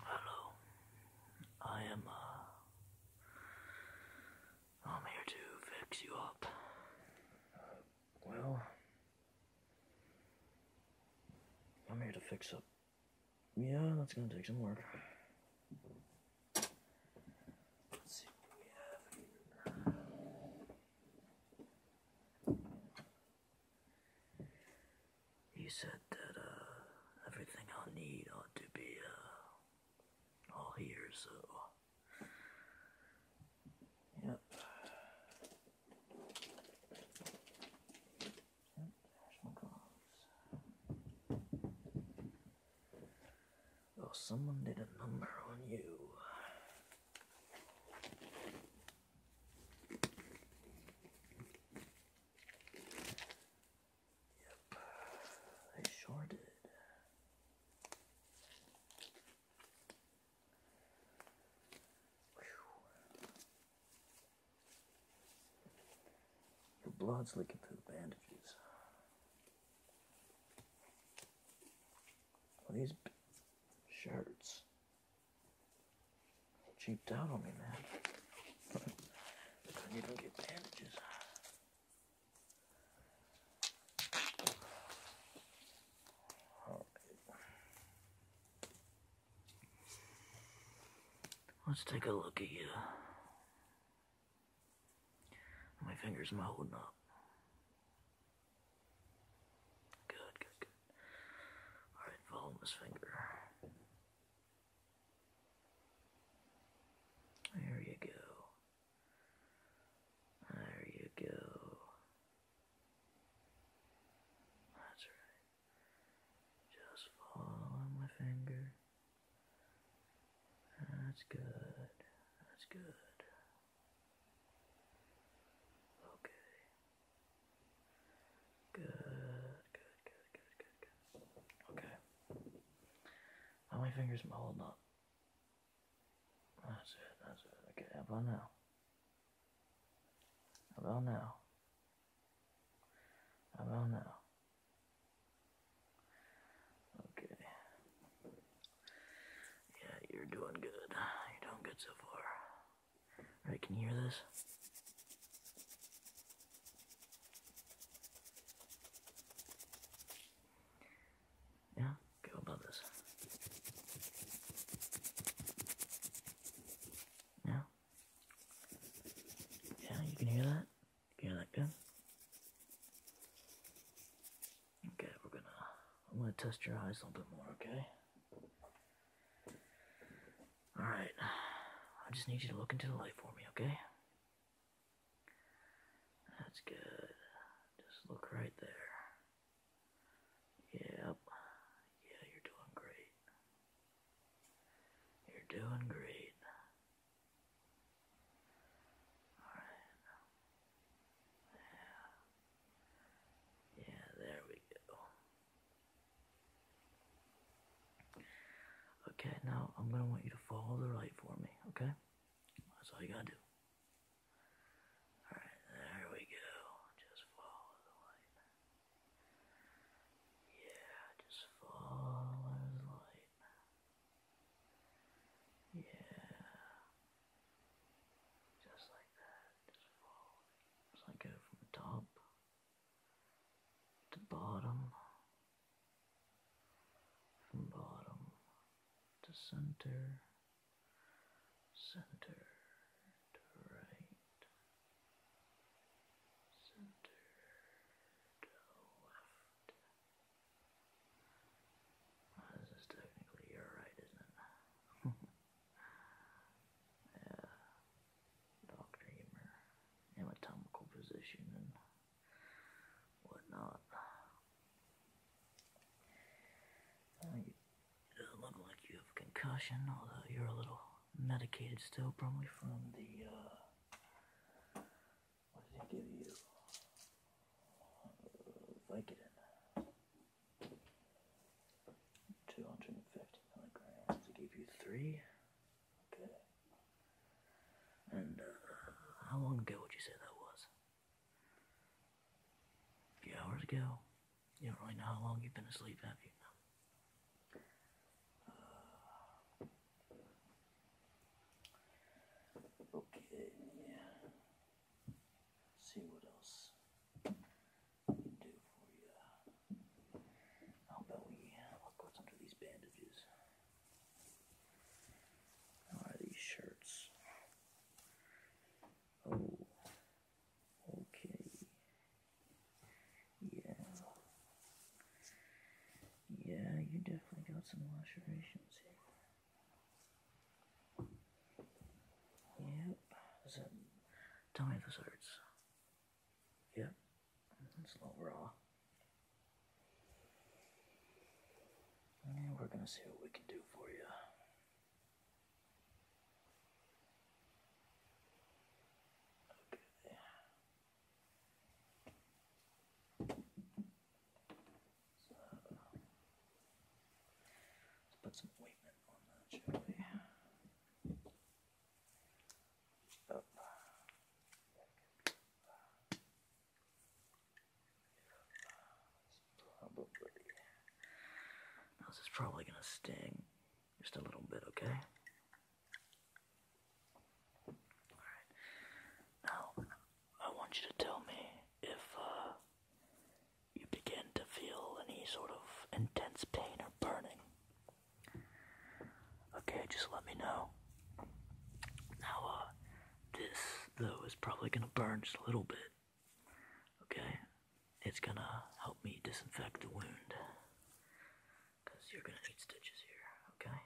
Hello. I am, uh, I'm here to fix you up. well. I'm here to fix up. Yeah, that's gonna take some work. Let's see what we have here. He said that uh, everything I need ought to be uh, all here, so. Yep. Oh, someone did a number on you. Yep, they sure did. Your blood's leaking through the bandages. these shirts cheaped out on me, man. I couldn't get bandages. Right. Let's take a look at you. My fingers, am I holding up? Good, good, good. Alright, follow this finger. There you go. There you go. That's right. Just follow my finger. That's good. That's good. Okay. Good, good, good, good, good, good. Okay. How many fingers am I holding up? That's it, that's it. Okay, how about now? How about now? How about now? Okay. Yeah, you're doing good. You're doing good so far. Alright, can you hear this? Yeah, go above this. Yeah. Yeah, you can hear that? You hear that gun. Okay, we're gonna I'm gonna test your eyes a little bit more, okay? Alright. I just need you to look into the light for me, okay? That's good. Just look right there. Yep. Yeah, you're doing great. You're doing great. Alright. Yeah. Yeah, there we go. Okay, now I'm going to want you to follow the light for me, okay? That's all you got to do. Alright, there we go. Just follow the light. Yeah, just follow the light. Yeah. Just like that. So I go from the top to bottom, from bottom to center, center to right, center to left. this is technically your right, isn't it? uh, doctor humor, anatomical position, and whatnot. Uh, you look like you have concussion, although you're a little medicated still, probably from the, uh, what did he give you? Vicodin. 250 milligrams to give you three. Okay. And uh, how long ago would you say that was? A few hours ago? You don't really know how long you've been asleep, have you? Uh, okay. let see what else. How about we look what's under these bandages? are these shirts? Oh, okay. Yeah. Yeah, you definitely got some lacerations here. tell me if this hurts. Yeah, it's little raw. And we're gonna see what we can do for you. Okay. put some ointment on that, shall this is probably gonna sting just a little bit, okay? Now, I want you to tell me if uh, you begin to feel any sort of intense pain or burning. Okay, just let me know. Now, uh, this, though, is probably gonna burn just a little bit. Okay? It's gonna help me disinfect the wound. Because you're gonna need stitches here, okay?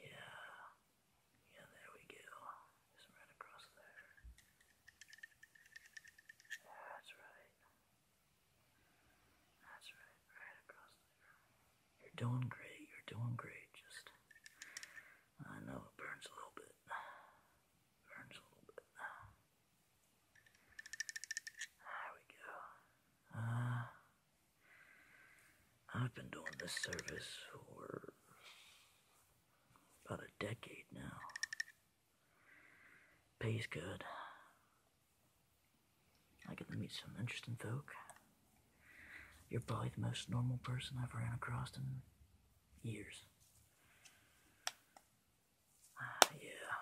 Yeah. Yeah, there we go. Just right across there. That's right. That's right, right across the room. You're doing great, you're doing great. Just, I know it burns a little bit. Burns a little bit. There we go. Uh, I've been doing this service for about a decade now. Pays good. I get to meet some interesting folk. You're probably the most normal person I've ran across in years. Ah, yeah,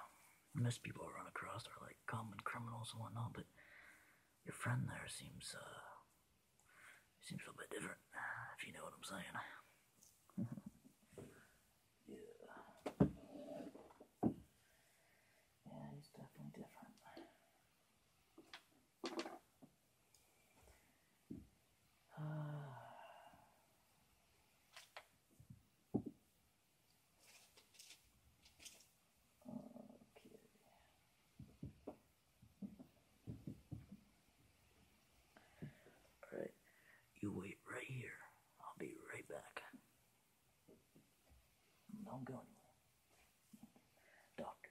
most people I run across are like common criminals and whatnot, but your friend there seems, uh, seems a little bit different, if you know what I'm saying. Yeah. Yeah, he's definitely different. Uh, okay. All right. You wait right here. I'll be right back. Don't go anywhere. Dr.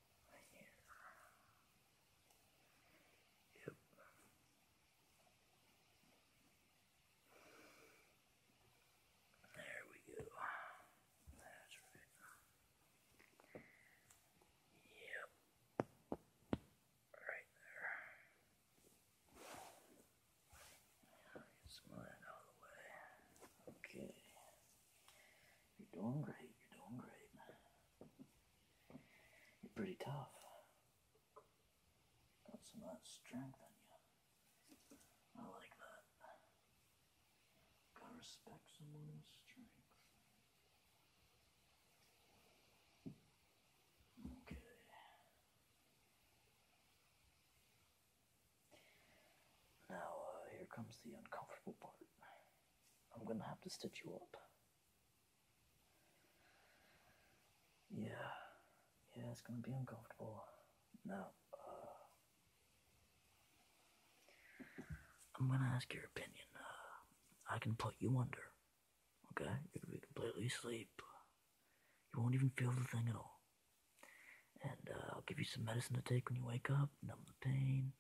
Yep. There we go. That's right. Yep. Right there. get some of that out of the way. Okay. You're doing great. You're doing great. You're pretty tough. Got some of strength in you. I like that. Gotta respect someone's strength. Uh, comes the uncomfortable part. I'm gonna have to stitch you up. Yeah, yeah, it's gonna be uncomfortable. Now, uh, I'm gonna ask your opinion. Uh, I can put you under, okay? You're gonna be completely asleep. You won't even feel the thing at all. And uh, I'll give you some medicine to take when you wake up, numb the pain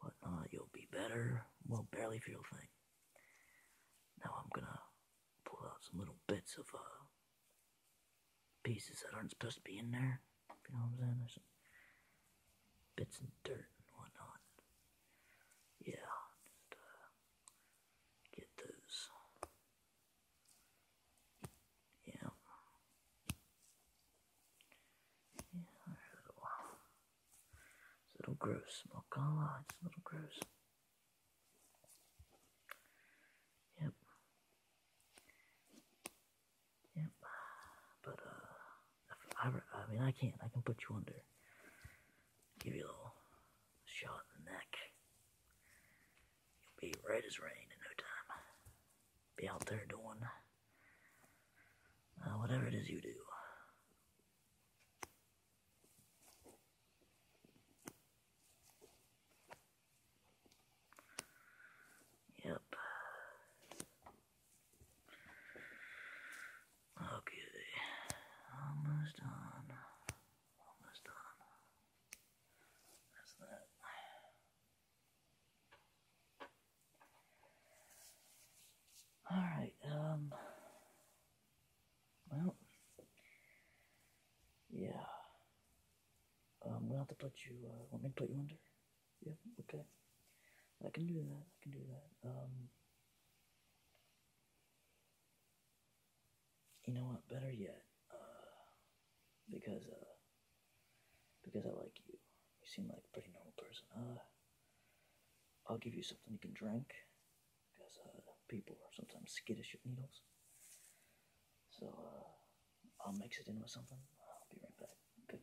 whatnot, you'll be better. Well, barely feel a thing. Now I'm gonna pull out some little bits of uh, pieces that aren't supposed to be in there. you know what I'm saying? There's some bits and dirt and whatnot. Yeah, uh, get those. Yeah. Yeah, there's a little, it's a little gross. I'm not gonna lie, it's a little gross. Yep. Yep. But uh, I, I mean, I can. not I can put you under. Give you a little shot in the neck. You'll be red as rain in no time. Be out there doing. Uh, whatever it is you do. Yep. Okay, almost done. Almost done. That's that. All right. Um. Well. Yeah. Um. We'll have to put you. Let uh, me put you under? Yeah. Okay. I can do that. I can do that. Um. You know what? Better yet. Uh. Because uh because I like you. You seem like a pretty normal person. Uh, I'll give you something you can drink because uh, people are sometimes skittish with needles. So uh, I'll mix it in with something. I'll be right back. Okay.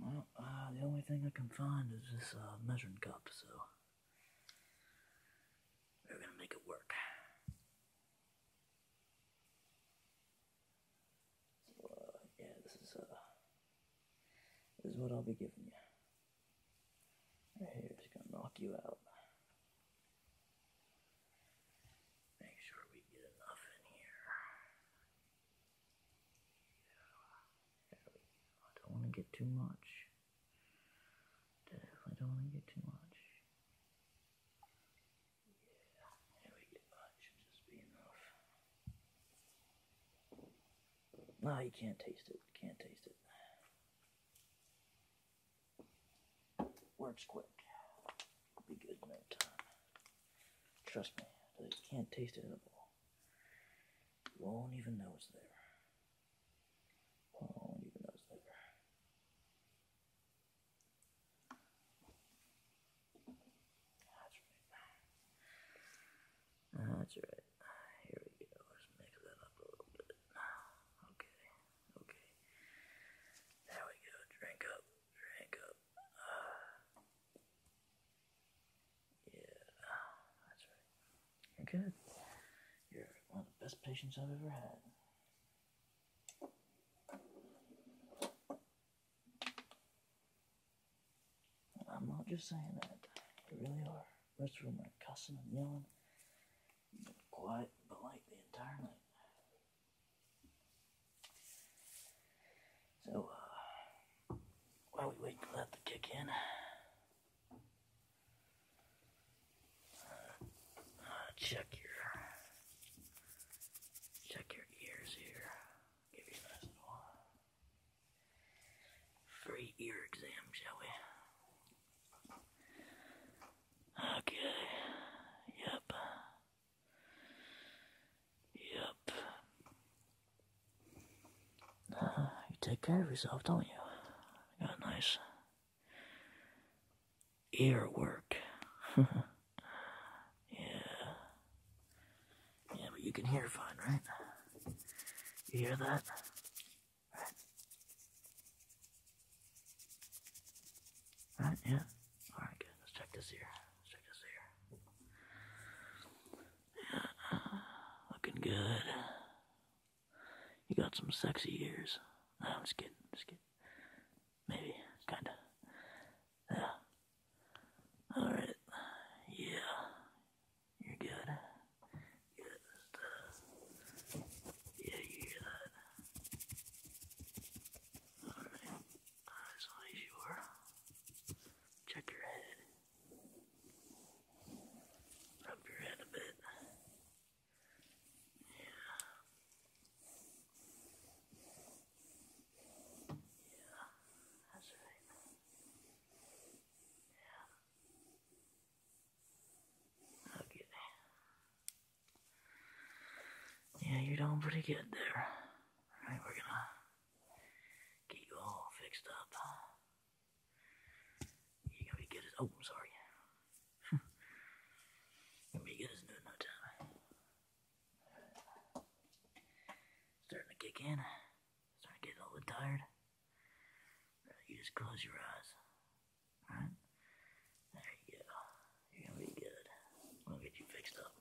Well, uh, the only thing I can find is this uh, measuring cup, so we're gonna make it work. So, uh, yeah, this is this is what I'll be giving you. Right here, just gonna knock you out. Make sure we get enough in here. I don't want to get too much. Definitely don't want to get too much. Yeah, there we go. just be enough. No, you can't taste it. Can't taste it. Works quick. It'll be good in no time. Trust me, you can't taste it at all. You won't even know it's there. Won't even know it's there. That's right. That's right. Here we go. Let's mix that up a little bit. Okay. Okay. There we go. Drink up. Drink up. Yeah, that's right. You're good. You're one of the best patients I've ever had. I'm not just saying that. You really are. Most of them are cussing and yelling. Quiet, but like the entire night. So, uh, while we wait for that to kick in, uh, check your check your ears here. give you a nice uh, free ear exam, shall we? Okay. Yep. Yep. you take care of yourself, don't you? You got a nice ear work. yeah. Yeah, but you can hear fine, right? You hear that? Right? yeah? Alright, good. Let's check this ear. Let's check this ear. Looking good. You got some sexy ears. I'm just kidding. Just kidding. Maybe, kinda. Yeah. All right. Yeah. You're good. Yeah, you hear that? All right. Eyes on you. Check your head. Rub your head a bit. Yeah. Yeah, that's right. Yeah. Okay. Yeah, you're doing pretty good there. Alright, we're gonna get you all fixed up. You're gonna be good as oh, I'm sorry. gonna be good as new in no time. Starting to kick in. Starting to get a little tired. You just close your eyes. Alright? There you go. You're gonna be good. I'm gonna get you fixed up.